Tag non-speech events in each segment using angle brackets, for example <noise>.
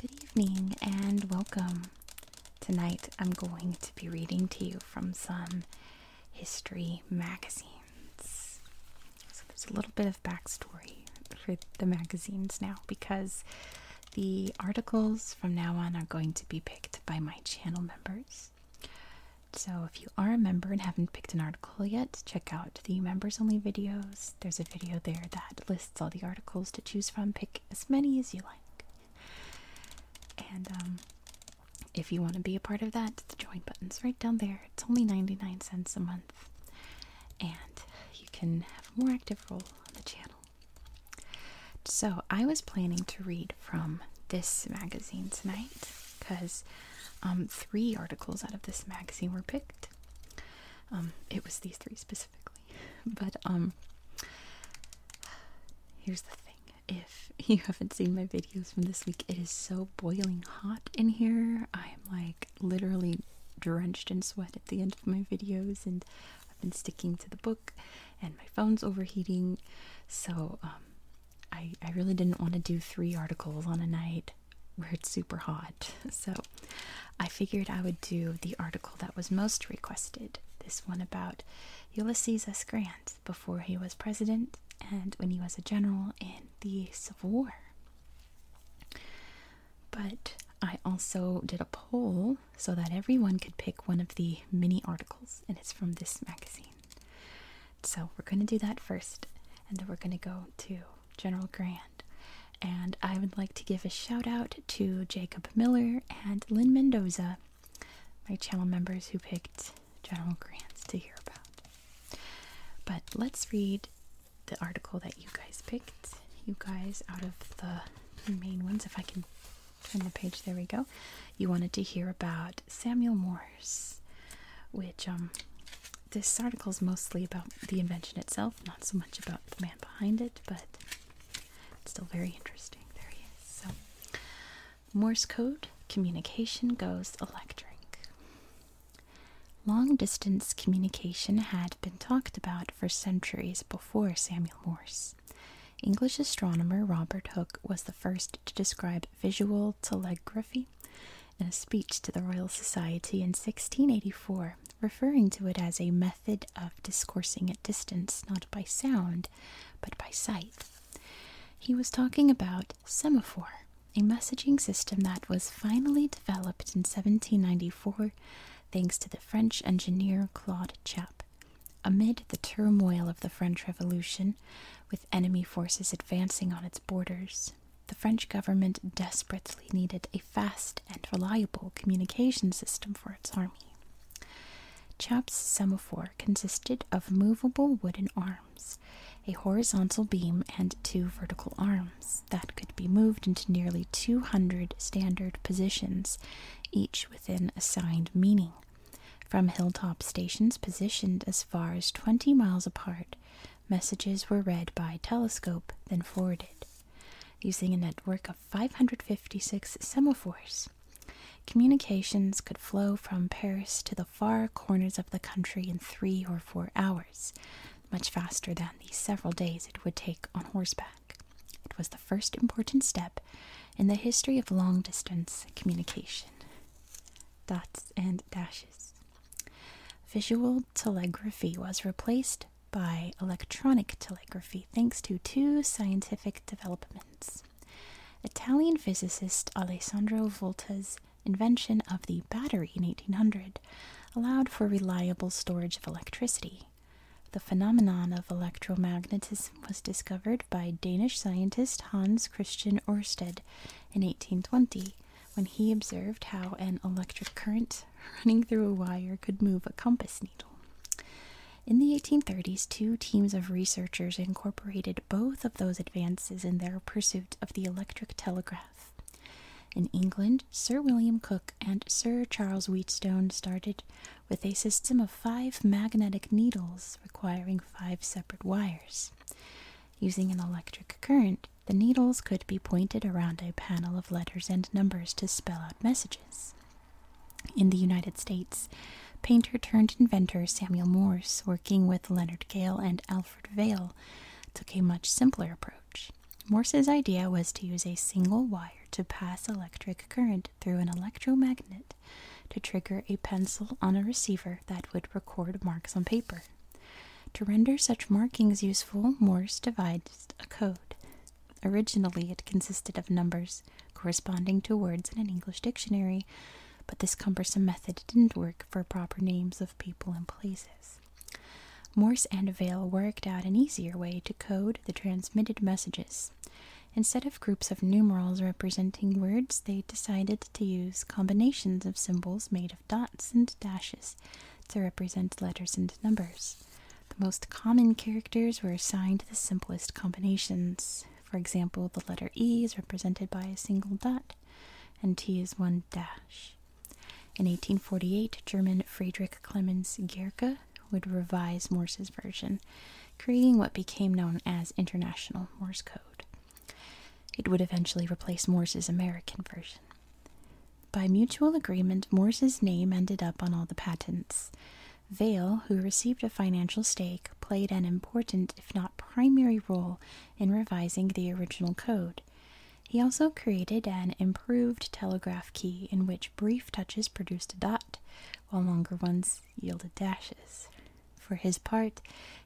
Good evening and welcome. Tonight I'm going to be reading to you from some history magazines. So there's a little bit of backstory for the magazines now because the articles from now on are going to be picked by my channel members. So if you are a member and haven't picked an article yet, check out the members only videos. There's a video there that lists all the articles to choose from. Pick as many as you like. And um, if you want to be a part of that, the join button's right down there. It's only 99 cents a month. And you can have a more active role on the channel. So I was planning to read from this magazine tonight because um, three articles out of this magazine were picked. Um, it was these three specifically, <laughs> but um, here's the thing. If <laughs> you haven't seen my videos from this week, it is so boiling hot in here. I am like literally drenched in sweat at the end of my videos, and I've been sticking to the book, and my phone's overheating. So, I, I really didn't want to do three articles on a night where it's super hot. <laughs> So I figured I would do the article that was most requested this one about Ulysses S. Grant before he was president and when he was a general in the Civil War. But I also did a poll so that everyone could pick one of the mini articles, and it's from this magazine. So we're going to do that first, and then we're going to go to General Grant. And I would like to give a shout out to Jacob Miller and Lynn Mendoza, my channel members who picked General Grants to hear about. But let's read the article that you guys picked, you guys out of the main ones, if I can turn the page. There we go. You wanted to hear about Samuel Morse, which um, this article is mostly about the invention itself, not so much about the man behind it, but still very interesting. There he is. So, Morse code communication goes electric. Long distance communication had been talked about for centuries before Samuel Morse. English astronomer Robert Hooke was the first to describe visual telegraphy in a speech to the Royal Society in 1684, referring to it as a method of discoursing at distance, not by sound, but by sight. He was talking about semaphore, a messaging system that was finally developed in 1794 thanks to the French engineer Claude Chap. Amid the turmoil of the French Revolution, with enemy forces advancing on its borders, the French government desperately needed a fast and reliable communication system for its army. Chapp's semaphore consisted of movable wooden arms, a horizontal beam, and two vertical arms that could be moved into nearly 200 standard positions, each with an assigned meaning. From hilltop stations positioned as far as 20 miles apart, messages were read by telescope, then forwarded. Using a network of 556 semaphores, communications could flow from Paris to the far corners of the country in three or four hours, much faster than the several days it would take on horseback. It was the first important step in the history of long distance communication. Dots and dashes. Visual telegraphy was replaced by electronic telegraphy thanks to two scientific developments. Italian physicist Alessandro Volta's invention of the battery in 1800 allowed for reliable storage of electricity. The phenomenon of electromagnetism was discovered by Danish scientist Hans Christian Ørsted in 1820 when he observed how an electric current running through a wire could move a compass needle. In the 1830s, two teams of researchers incorporated both of those advances in their pursuit of the electric telegraph. In England, Sir William Cook and Sir Charles Wheatstone started with a system of five magnetic needles requiring five separate wires. Using an electric current, the needles could be pointed around a panel of letters and numbers to spell out messages. In the United States, painter turned inventor Samuel Morse, working with Leonard Gale and Alfred Vail, took a much simpler approach. Morse's idea was to use a single wire to pass electric current through an electromagnet to trigger a pencil on a receiver that would record marks on paper. To render such markings useful, Morse devised a code. Originally, it consisted of numbers corresponding to words in an English dictionary, but this cumbersome method didn't work for proper names of people and places. Morse and Vail worked out an easier way to code the transmitted messages. Instead of groups of numerals representing words, they decided to use combinations of symbols made of dots and dashes to represent letters and numbers. The most common characters were assigned the simplest combinations. For example, the letter E is represented by a single dot, and T is one dash. In 1848, German Friedrich Clemens Gierke would revise Morse's version creating what became known as International Morse Code. It would eventually replace Morse's American version. By mutual agreement, Morse's name ended up on all the patents. Vail, who received a financial stake, played an important, if not primary, role in revising the original code. He also created an improved telegraph key in which brief touches produced a dot, while longer ones yielded dashes. For his part,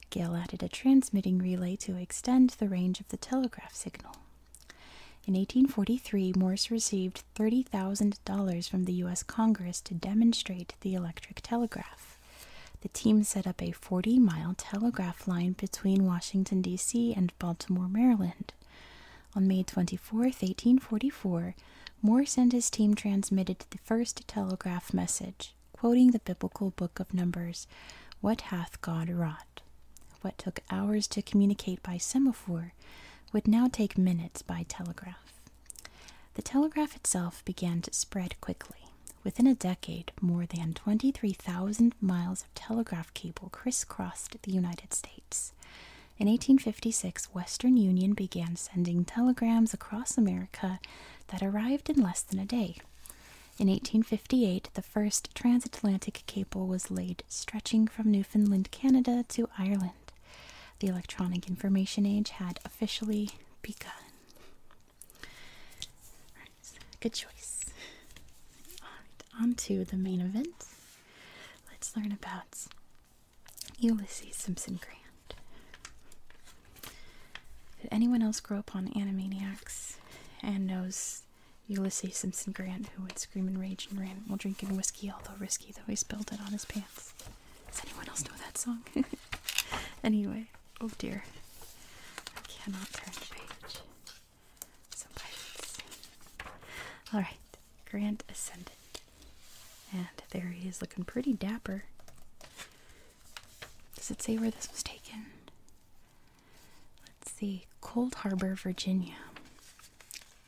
Gale added a transmitting relay to extend the range of the telegraph signal. In 1843, Morse received $30,000 from the U.S. Congress to demonstrate the electric telegraph. The team set up a 40 mile telegraph line between Washington, D.C. and Baltimore, Maryland. On May 24, 1844, Morse and his team transmitted the first telegraph message, quoting the biblical book of Numbers What hath God wrought? What took hours to communicate by semaphore would now take minutes by telegraph. The telegraph itself began to spread quickly. Within a decade, more than 23,000 miles of telegraph cable crisscrossed the United States. In 1856, Western Union began sending telegrams across America that arrived in less than a day. In 1858, the first transatlantic cable was laid, stretching from Newfoundland, Canada to Ireland. The electronic information age had officially begun. good choice. on to the main event. Let's learn about Ulysses Simpson Grant. Did anyone else grow up on Animaniacs and knows Ulysses Simpson Grant, who would scream and rage and rant while drinking whiskey, although risky, though he spilled it on his pants? Does anyone else know that song? <laughs> anyway, oh dear. I cannot turn the page. Some pirates. Alright, Grant ascended. And there he is looking pretty dapper. Does it say where this was taken? Let's see. Cold Harbor, Virginia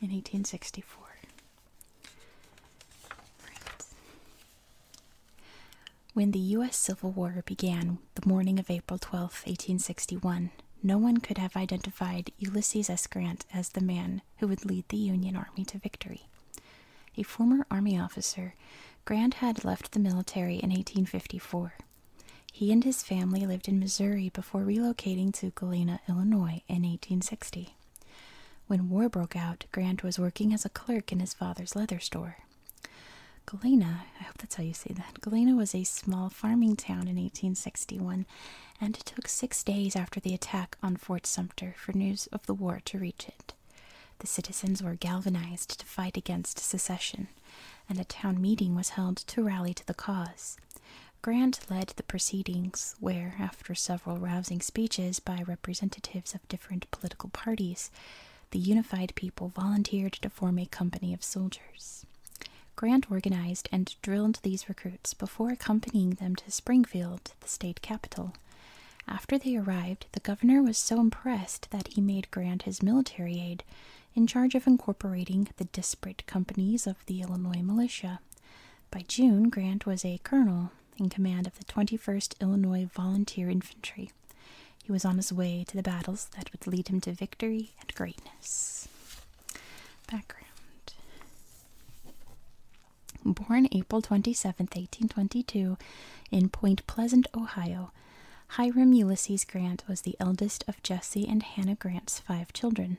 in 1864. Right. When the U.S. Civil War began the morning of April 12, 1861, no one could have identified Ulysses S. Grant as the man who would lead the Union Army to victory. A former Army officer, Grant had left the military in 1854. He and his family lived in Missouri before relocating to Galena, Illinois in 1860. When war broke out, Grant was working as a clerk in his father's leather store. Galena, I hope that's how you say that. Galena was a small farming town in 1861 and it took six days after the attack on Fort Sumter for news of the war to reach it. The citizens were galvanized to fight against secession, and a town meeting was held to rally to the cause. Grant led the proceedings, where, after several rousing speeches by representatives of different political parties, the unified people volunteered to form a company of soldiers. Grant organized and drilled these recruits before accompanying them to Springfield the state capital. After they arrived, the governor was so impressed that he made Grant his military aide, in charge of incorporating the disparate companies of the Illinois militia. By June, Grant was a colonel in command of the 21st Illinois Volunteer Infantry. He was on his way to the battles that would lead him to victory and greatness. Background Born April 27, 1822, in Point Pleasant, Ohio, Hiram Ulysses Grant was the eldest of Jesse and Hannah Grant's five children.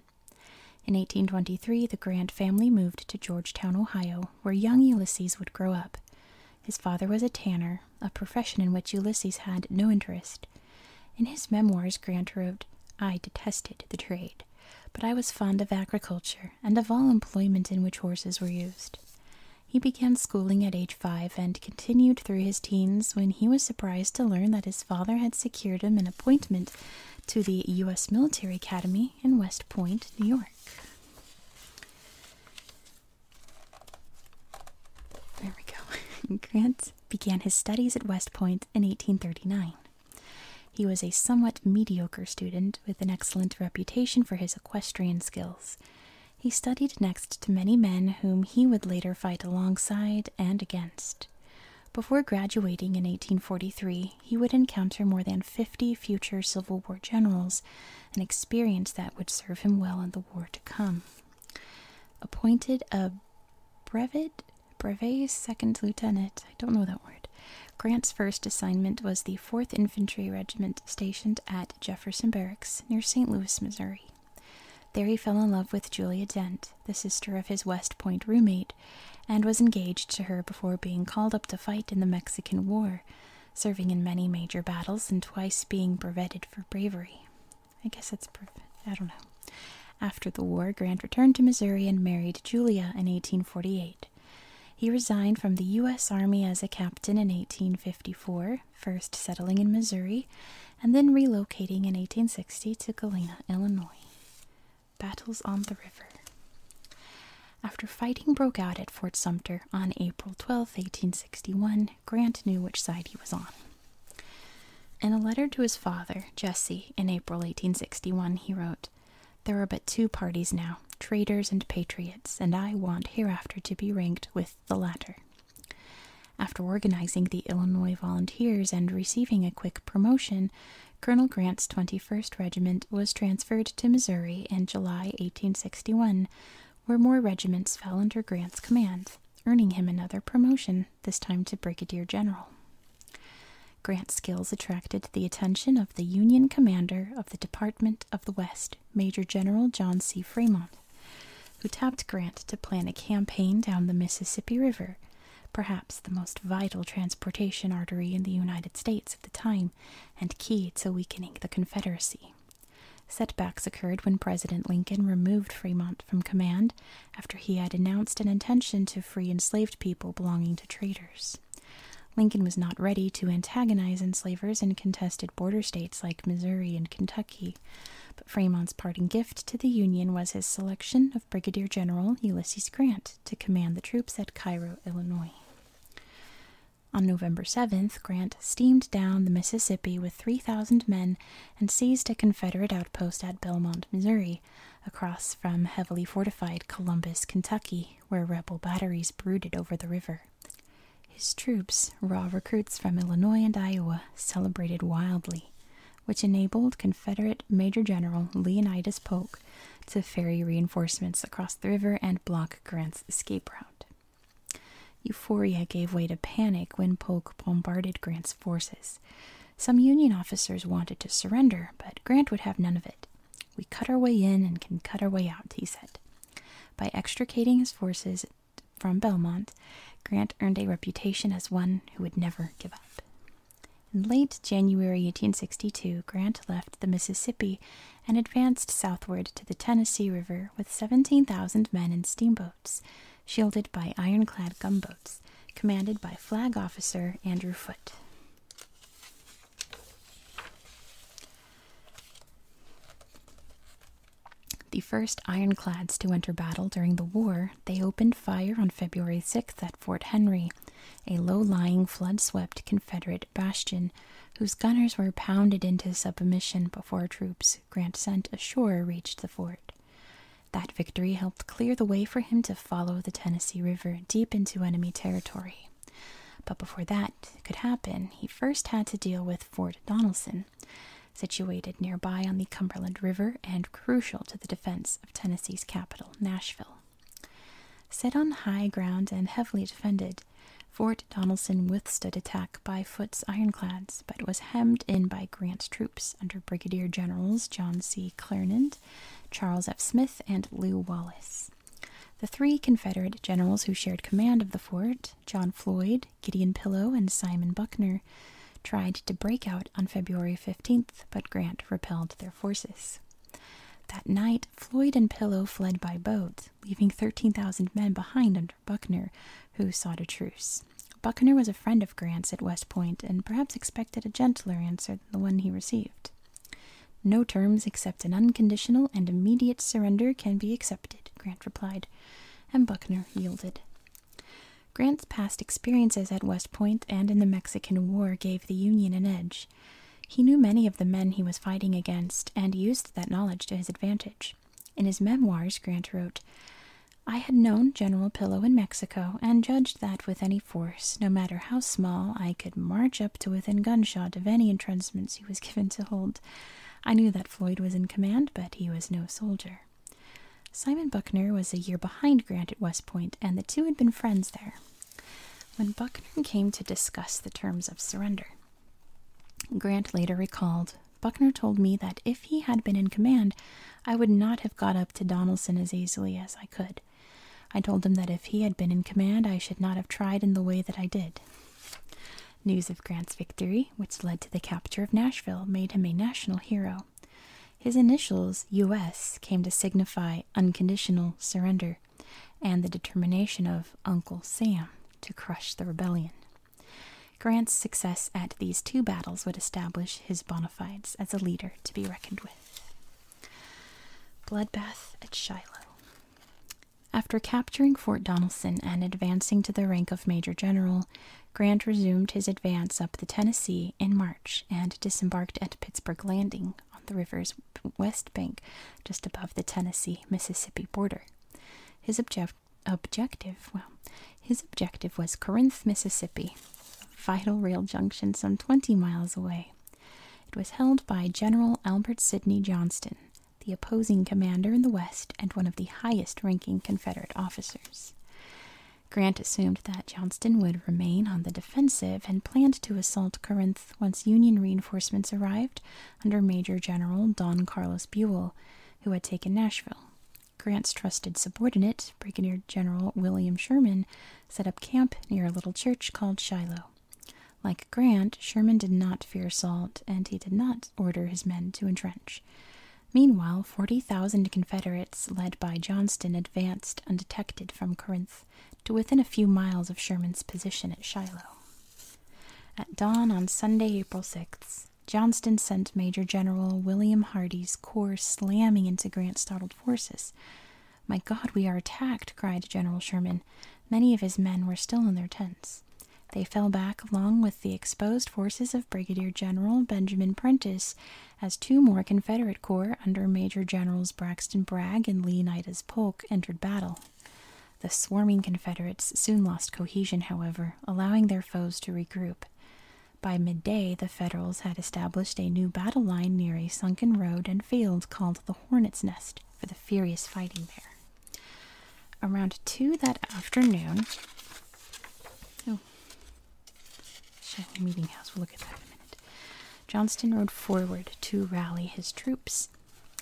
In 1823, the Grant family moved to Georgetown, Ohio, where young Ulysses would grow up. His father was a tanner, a profession in which Ulysses had no interest. In his memoirs, Grant wrote, I detested the trade but I was fond of agriculture and of all employment in which horses were used. He began schooling at age five and continued through his teens when he was surprised to learn that his father had secured him an appointment to the U.S. Military Academy in West Point, New York. There we go. <laughs> Grant began his studies at West Point in 1839. He was a somewhat mediocre student with an excellent reputation for his equestrian skills. He studied next to many men whom he would later fight alongside and against. Before graduating in 1843, he would encounter more than 50 future Civil War generals, an experience that would serve him well in the war to come. Appointed a brevet Brevet's second lieutenant, I don't know that word. Grant's first assignment was the 4th Infantry Regiment stationed at Jefferson Barracks near St. Louis, Missouri. There he fell in love with Julia Dent, the sister of his West Point roommate, and was engaged to her before being called up to fight in the Mexican War, serving in many major battles and twice being brevetted for bravery. I guess it's brevet. I don't know. After the war, Grant returned to Missouri and married Julia in 1848. He resigned from the U.S. Army as a captain in 1854, first settling in Missouri, and then relocating in 1860 to Galena, Illinois. Battles on the River. After fighting broke out at Fort Sumter on April 12, 1861, Grant knew which side he was on. In a letter to his father, Jesse, in April 1861, he wrote, there are but two parties now, traitors and patriots, and I want hereafter to be ranked with the latter. After organizing the Illinois Volunteers and receiving a quick promotion, Colonel Grant's 21st Regiment was transferred to Missouri in July 1861, where more regiments fell under Grant's command, earning him another promotion, this time to Brigadier General. Grant's skills attracted the attention of the Union commander of the Department of the West, Major General John C. Fremont, who tapped Grant to plan a campaign down the Mississippi River, perhaps the most vital transportation artery in the United States at the time and key to weakening the Confederacy. Setbacks occurred when President Lincoln removed Fremont from command after he had announced an intention to free enslaved people belonging to traitors, Lincoln was not ready to antagonize enslavers in contested border states like Missouri and Kentucky, but Fremont's parting gift to the Union was his selection of Brigadier General Ulysses Grant to command the troops at Cairo, Illinois. On November 7th, Grant steamed down the Mississippi with 3,000 men and seized a Confederate outpost at Belmont, Missouri, across from heavily fortified Columbus, Kentucky, where rebel batteries brooded over the river. His troops, raw recruits from Illinois and Iowa, celebrated wildly, which enabled Confederate Major General Leonidas Polk to ferry reinforcements across the river and block Grant's escape route. Euphoria gave way to panic when Polk bombarded Grant's forces, some Union officers wanted to surrender, but Grant would have none of it. We cut our way in and can cut our way out, he said. By extricating his forces from Belmont, Grant earned a reputation as one who would never give up. In late January 1862, Grant left the Mississippi and advanced southward to the Tennessee River with 17,000 men and steamboats, shielded by ironclad gunboats, commanded by Flag Officer Andrew Foote. The first ironclads to enter battle during the war, they opened fire on February 6th at Fort Henry, a low lying, flood swept Confederate bastion whose gunners were pounded into submission before troops Grant sent ashore reached the fort. That victory helped clear the way for him to follow the Tennessee River deep into enemy territory. But before that could happen, he first had to deal with Fort Donelson, situated nearby on the Cumberland River and crucial to the defense of Tennessee's capital, Nashville. Set on high ground and heavily defended, Fort Donelson withstood attack by Foote's ironclads, but was hemmed in by Grant's troops under Brigadier Generals John C. Clarendon Charles F. Smith, and Lew Wallace. The three Confederate generals who shared command of the fort, John Floyd, Gideon Pillow, and Simon Buckner, tried to break out on February 15th, but Grant repelled their forces. That night, Floyd and Pillow fled by boat, leaving 13,000 men behind under Buckner, who sought a truce. Buckner was a friend of Grant's at West Point and perhaps expected a gentler answer than the one he received. No terms except an unconditional and immediate surrender can be accepted, Grant replied, and Buckner yielded. Grant's past experiences at West Point and in the Mexican War gave the Union an edge. He knew many of the men he was fighting against and used that knowledge to his advantage. In his memoirs, Grant wrote, I had known General Pillow in Mexico and judged that with any force, no matter how small, I could march up to within gunshot of any entrenchments he was <laughs> given to hold. I knew that Floyd was in command, but he was no soldier. Simon Buckner was a year behind Grant at West Point, and the two had been friends there. When Buckner came to discuss the terms of surrender, Grant later recalled, Buckner told me that if he had been in command, I would not have got up to Donelson as easily as I could. I told him that if he had been in command, I should not have tried in the way that I did. News of Grant's victory, which led to the capture of Nashville, made him a national hero. His initials, U.S., came to signify unconditional surrender and the determination of Uncle Sam to crush the rebellion. Grant's success at these two battles would establish his bona fides as a leader to be reckoned with. Bloodbath at Shiloh. After capturing Fort Donelson and advancing to the rank of Major General, Grant resumed his advance up the Tennessee in March and disembarked at Pittsburg Landing on the river's west bank just above the Tennessee Mississippi border. His objective well his objective was Corinth, Mississippi, vital rail junction some 20 miles away. It was held by General Albert Sidney Johnston, the opposing commander in the West and one of the highest ranking Confederate officers. Grant assumed that Johnston would remain on the defensive and planned to assault Corinth once Union reinforcements arrived under Major General Don Carlos Buell, who had taken Nashville. Grant's trusted subordinate, Brigadier General William Sherman, set up camp near a little church called Shiloh. Like Grant, Sherman did not fear assault, and he did not order his men to entrench. Meanwhile, 40,000 Confederates, led by Johnston, advanced undetected from Corinth to within a few miles of Sherman's position at Shiloh. At dawn on Sunday, April 6th, Johnston sent Major General William Hardee's corps slamming into Grant's forces. My God, we are attacked, cried General Sherman. Many of his men were still in their tents. They fell back along with the exposed forces of Brigadier General Benjamin Prentiss, as two more Confederate corps under Major Generals Braxton Bragg and Leonidas Polk entered battle. The swarming Confederates soon lost cohesion, however, allowing their foes to regroup. By midday, the Federals had established a new battle line near a sunken road and field called the Hornet's Nest for the furious fighting there. Around two that afternoon, oh, Shiloh Meeting House, we'll look at that in a minute. Johnston rode forward to rally his troops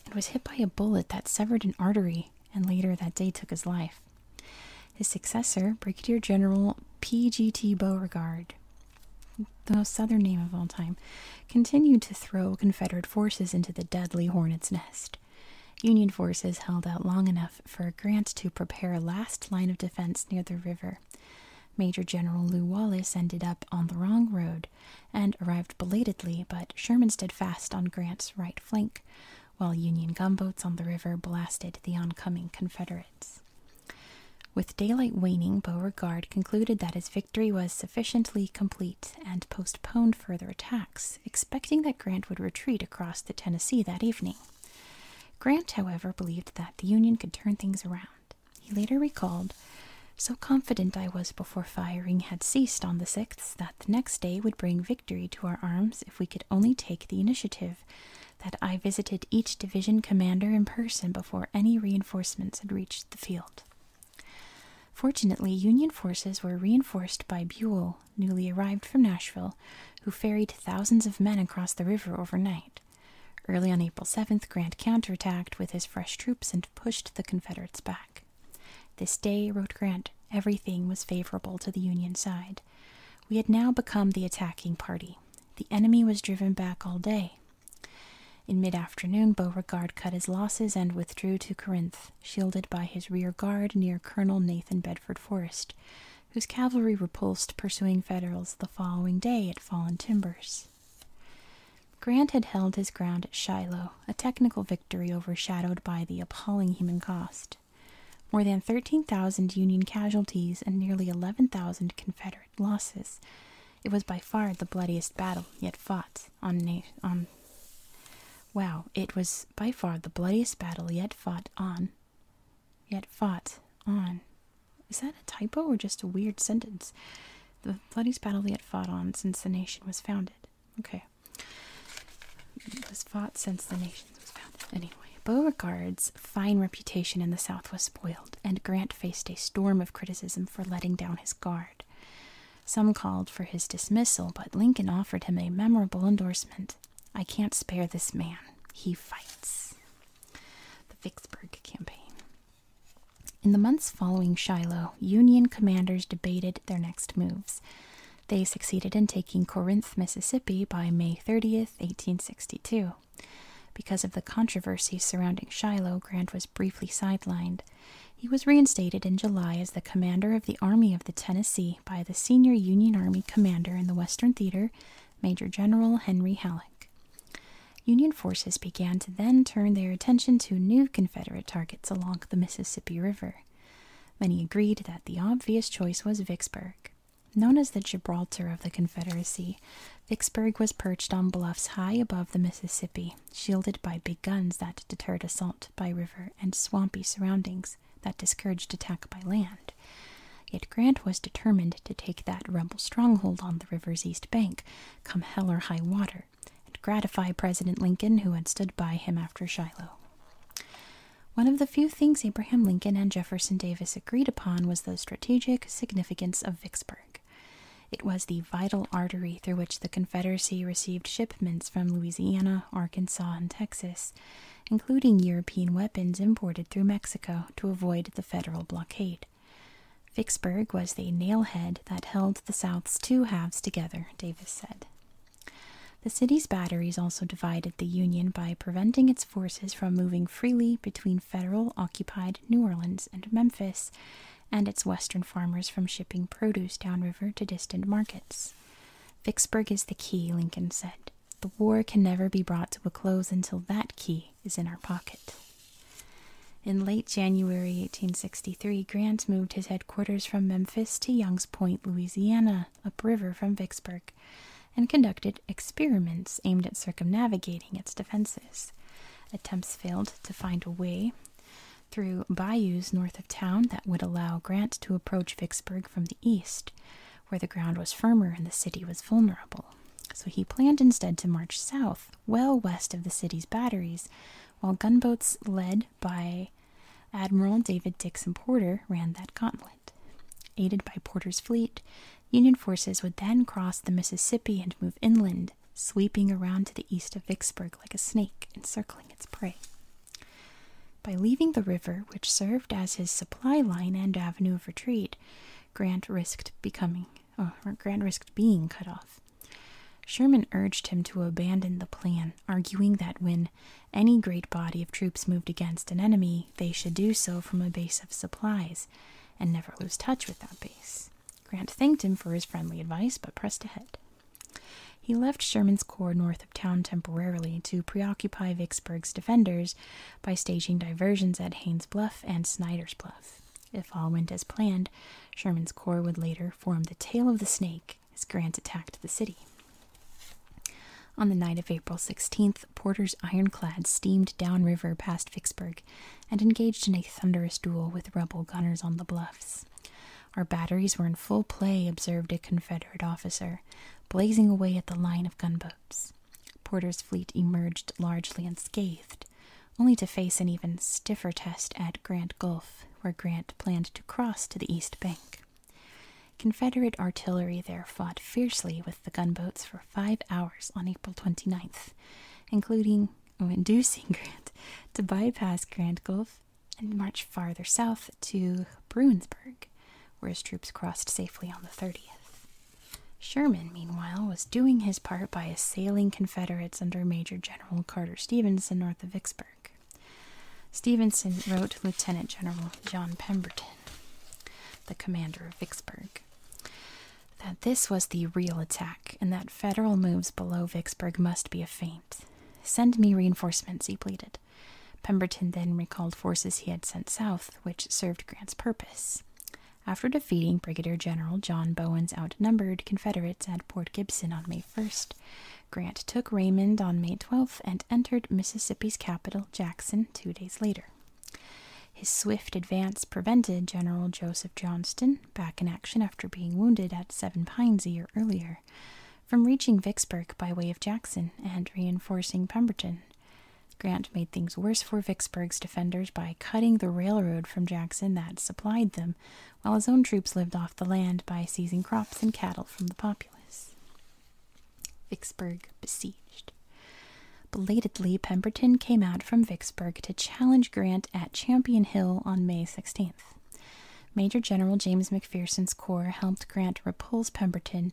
and was hit by a bullet that severed an artery and later that day took his life. His successor, Brigadier General P.G.T. Beauregard, the most southern name of all time, continued to throw Confederate forces into the deadly hornet's nest. Union forces held out long enough for Grant to prepare a last line of defense near the river. Major General Lew Wallace ended up on the wrong road and arrived belatedly, but Sherman stood fast on Grant's right flank, while Union gunboats on the river blasted the oncoming Confederates. With daylight waning, Beauregard concluded that his victory was sufficiently complete and postponed further attacks, expecting that Grant would retreat across the Tennessee that evening. Grant, however, believed that the Union could turn things around. He later recalled, So confident I was before firing had ceased on the 6th that the next day would bring victory to our arms if we could only take the initiative, that I visited each division commander in person before any reinforcements had reached the field. Fortunately, Union forces were reinforced by Buell, newly arrived from Nashville, who ferried thousands of men across the river overnight. Early on April 7th, Grant counterattacked with his fresh troops and pushed the Confederates back. This day, wrote Grant, everything was favorable to the Union side. We had now become the attacking party. The enemy was driven back all day. In mid afternoon, Beauregard cut his losses and withdrew to Corinth, shielded by his rear guard near Colonel Nathan Bedford Forrest, whose cavalry repulsed pursuing Federals the following day at Fallen Timbers. Grant had held his ground at Shiloh, a technical victory overshadowed by the appalling human cost more than 13,000 Union casualties, and nearly 11,000 Confederate losses. It was by far the bloodiest battle yet fought on na Wow, it was by far the bloodiest battle yet fought on yet fought on. Is that a typo or just a weird sentence? The bloodiest battle yet fought on since the nation was founded. Okay. It was fought since the nation. Anyway, Beauregard's fine reputation in the South was spoiled, and Grant faced a storm of criticism for letting down his guard. Some called for his dismissal, but Lincoln offered him a memorable endorsement I can't spare this man. He fights. The Vicksburg Campaign. In the months following Shiloh, Union commanders debated their next moves. They succeeded in taking Corinth, Mississippi by May 30th, 1862. Because of the controversy surrounding Shiloh, Grant was briefly sidelined. He was reinstated in July as the commander of the Army of the Tennessee by the senior Union Army commander in the Western Theater, Major General Henry Halleck. Union forces began to then turn their attention to new Confederate targets along the Mississippi River. Many agreed that the obvious choice was Vicksburg. Known as the Gibraltar of the Confederacy, Vicksburg was perched on bluffs high above the Mississippi, shielded by big guns that deterred assault by river and swampy surroundings that discouraged attack by land. Yet Grant was determined to take that rebel stronghold on the river's east bank, come hell or high water, and gratify President Lincoln, who had stood by him after Shiloh. One of the few things Abraham Lincoln and Jefferson Davis agreed upon was the strategic significance of Vicksburg. It was the vital artery through which the Confederacy received shipments from Louisiana, Arkansas, and Texas, including European weapons imported through Mexico to avoid the federal blockade. Vicksburg was the nailhead that held the South's two halves together, Davis said. The city's batteries also divided the Union by preventing its forces from moving freely between federal occupied New Orleans and Memphis, and its western farmers from shipping produce downriver to distant markets. Vicksburg is the key, Lincoln said. The war can never be brought to a close until that key is in our pocket. In late January 1863, Grant moved his headquarters from Memphis to Young's Point, Louisiana, upriver from Vicksburg and conducted experiments aimed at circumnavigating its defenses. Attempts failed to find a way through bayous north of town that would allow Grant to approach Vicksburg from the east, where the ground was firmer and the city was vulnerable. So he planned instead to march south, well west of the city's batteries, while gunboats led by Admiral David Dixon Porter ran that gauntlet. Aided by Porter's fleet, Union forces would then cross the Mississippi and move inland, sweeping around to the east of Vicksburg like a snake encircling its prey. By leaving the river, which served as his supply line and avenue of retreat, Grant risked becoming or Grant risked being cut off. Sherman urged him to abandon the plan, arguing that when any great body of troops moved against an enemy, they should do so from a base of supplies, and never lose touch with that base. Grant thanked him for his friendly advice, but pressed ahead. He left Sherman's corps north of town temporarily to preoccupy Vicksburg's defenders by staging diversions at Haines Bluff and Snyder's Bluff. If all went as planned, Sherman's corps would later form the tail of the snake as Grant attacked the city. On the night of April 16th, Porter's ironclad steamed down river past Vicksburg and engaged in a thunderous duel with rebel gunners on the bluffs. Our batteries were in full play, observed a Confederate officer, blazing away at the line of gunboats. Porter's fleet emerged largely unscathed, only to face an even stiffer test at Grant Gulf, where Grant planned to cross to the east bank. Confederate artillery there fought fiercely with the gunboats for five hours on April 29th, including oh, inducing Grant to bypass Grand Gulf and march farther south to Bruinsburg, where his troops crossed safely on the 30th. Sherman, meanwhile, was doing his part by assailing Confederates under Major General Carter Stevenson north of Vicksburg. Stevenson wrote Lieutenant General John Pemberton the commander of Vicksburg, that this was the real attack and that Federal moves below Vicksburg must be a feint. Send me reinforcements, he pleaded. Pemberton then recalled forces he had sent south, which served Grant's purpose. After defeating Brigadier General John Bowen's outnumbered Confederates at Port Gibson on May 1st, Grant took Raymond on May 12th and entered Mississippi's capital, Jackson two days later. His swift advance prevented General Joseph Johnston, back in action after being wounded at Seven Pines a year earlier, from reaching Vicksburg by way of Jackson and reinforcing Pemberton. Grant made things worse for Vicksburg's defenders by cutting the railroad from Jackson that supplied them, while his own troops lived off the land by seizing crops and cattle from the populace. Vicksburg besieged. Belatedly, Pemberton came out from Vicksburg to challenge Grant at Champion Hill on May 16th. Major General James McPherson's corps helped Grant repulse Pemberton,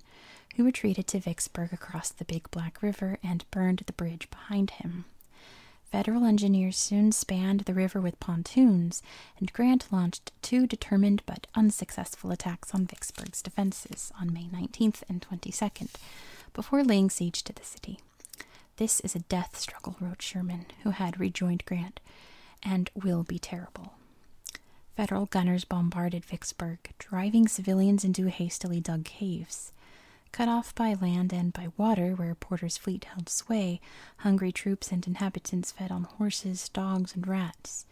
who retreated to Vicksburg across the Big Black River and burned the bridge behind him. Federal engineers soon spanned the river with pontoons, and Grant launched two determined but unsuccessful attacks on Vicksburg's defenses on May 19th and 22nd before laying siege to the city. This is a death struggle, wrote Sherman, who had rejoined Grant, and will be terrible. Federal gunners bombarded Vicksburg, driving civilians into hastily dug caves. Cut off by land and by water, where Porter's fleet held sway, hungry troops and inhabitants fed on horses, dogs, and rats.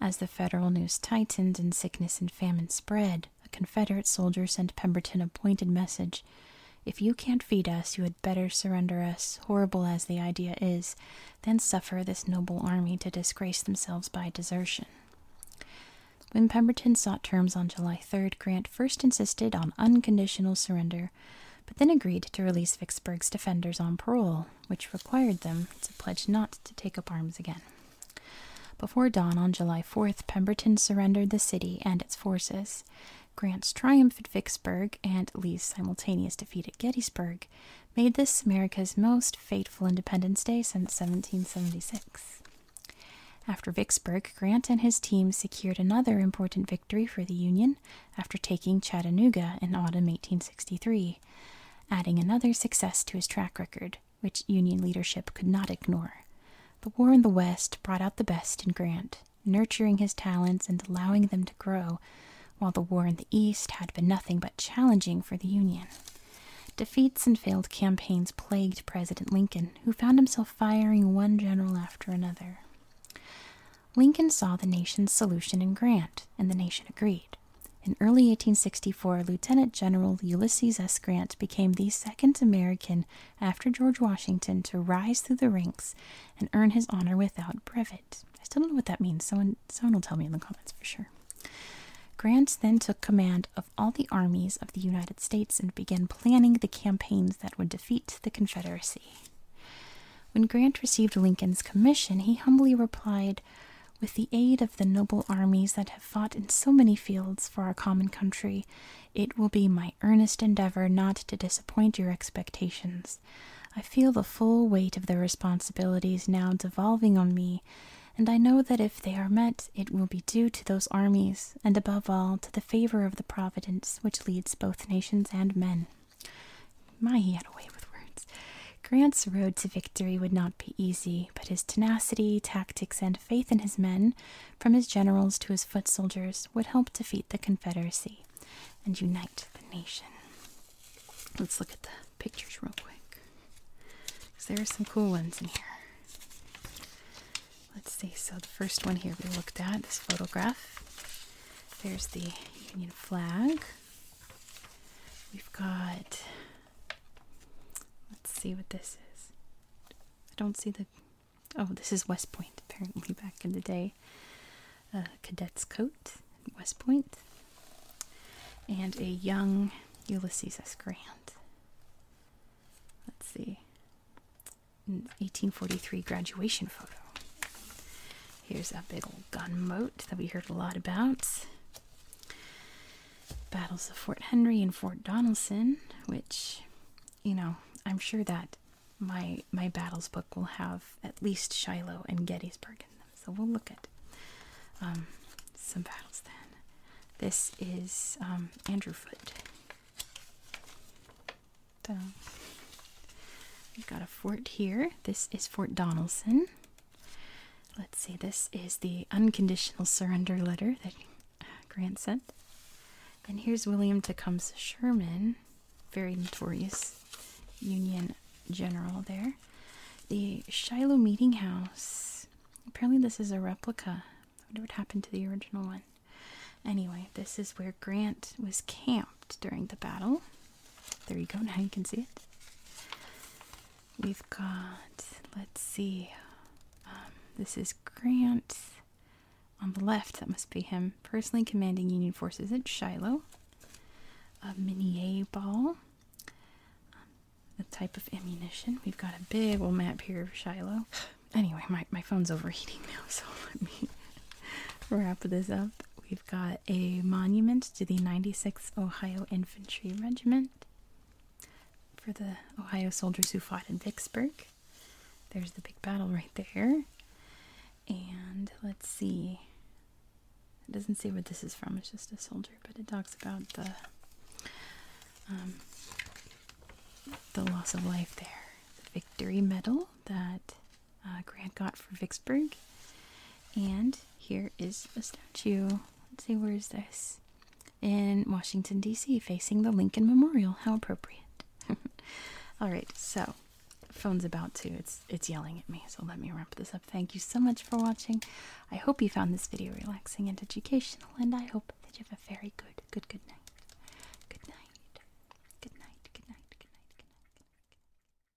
As the Federal news tightened and sickness and famine spread, a Confederate soldier sent Pemberton a pointed message If you can't feed us, you had better surrender us, horrible as the idea is, than suffer this noble army to disgrace themselves by desertion. When Pemberton sought terms on July 3rd, Grant first insisted on unconditional surrender, but then agreed to release Vicksburg's defenders on parole which required them to pledge not to take up arms again. Before dawn on July 4th, Pemberton surrendered the city and its forces. Grant's triumph at Vicksburg and Lee's simultaneous defeat at Gettysburg made this America's most fateful Independence Day since 1776. After Vicksburg, Grant and his team secured another important victory for the Union after taking Chattanooga in autumn 1863 adding another success to his track record, which Union leadership could not ignore. The war in the West brought out the best in Grant, nurturing his talents and allowing them to grow, while the war in the East had been nothing but challenging for the Union. Defeats and failed campaigns plagued President Lincoln, who found himself firing one general after another. Lincoln saw the nation's solution in Grant, and the nation agreed. In early 1864, Lieutenant General Ulysses S. Grant became the second American after George Washington to rise through the ranks and earn his honor without brevet. I still don't know what that means. Someone, someone will tell me in the comments for sure. Grant then took command of all the armies of the United States and began planning the campaigns that would defeat the Confederacy. When Grant received Lincoln's commission, he humbly replied, with the aid of the noble armies that have fought in so many fields for our common country, it will be my earnest endeavour not to disappoint your expectations. I feel the full weight of the responsibilities now devolving on me, and I know that if they are met, it will be due to those armies, and above all to the favour of the Providence which leads both nations and men. My, he had a way with words. Grant's road to victory would not be easy, but his tenacity, tactics, and faith in his men, from his generals to his foot soldiers, would help defeat the Confederacy and unite the nation. Let's look at the pictures real quick, there are some cool ones in here. Let's see, so the first one here we looked at, this photograph. There's the Union flag. We've got. Let's see what this is. I don't see the. Oh, this is West Point, apparently, back in the day. A cadet's coat West And a young Ulysses S. Grant. Let's see. 1843 graduation photo. Here's a big old gun moat that we heard a lot about. Battles of Fort Henry and Fort Donelson, which, you know, I'm sure that my my battles book will have at least Shiloh and Gettysburg in them. So we'll look at um, some battles then. This is um, Andrew Foot. we've got a fort here. This is Fort Donelson. Let's see, this is the unconditional surrender letter that uh, Grant sent. And here's William Tecumseh Sherman, very notorious Union general there. The Shiloh Meeting House. Apparently, this is a replica. I wonder what happened to the original one. Anyway, this is where Grant was camped during the battle. There you go, now you can see it. We've got, let's see, um, this is Grant on the left, that must be him, personally commanding Union forces at Shiloh. A minier ball, um, the type of ammunition. We've got a big old map here of Shiloh. Anyway, my, my phone's overheating now, <laughs> so let me <laughs> wrap this up. We've got a monument to the 96th Ohio Infantry Regiment for the Ohio soldiers who fought in Vicksburg. There's the big battle right there. And let's see. It doesn't say what this is from, it's just a soldier, but it talks about the um, the loss of life there. The victory medal that uh, Grant got for Vicksburg. And here is a statue. Let's see, where is this? In Washington, D.C., facing the Lincoln Memorial. How appropriate. <laughs> All right, so phone's about to. It's it's yelling at me, so let me wrap this up. Thank you so much for watching. I hope you found this video relaxing and educational, and I hope that you have a very good, good, good night. Good night. Good night. Good night. Good night. Good night. Good night.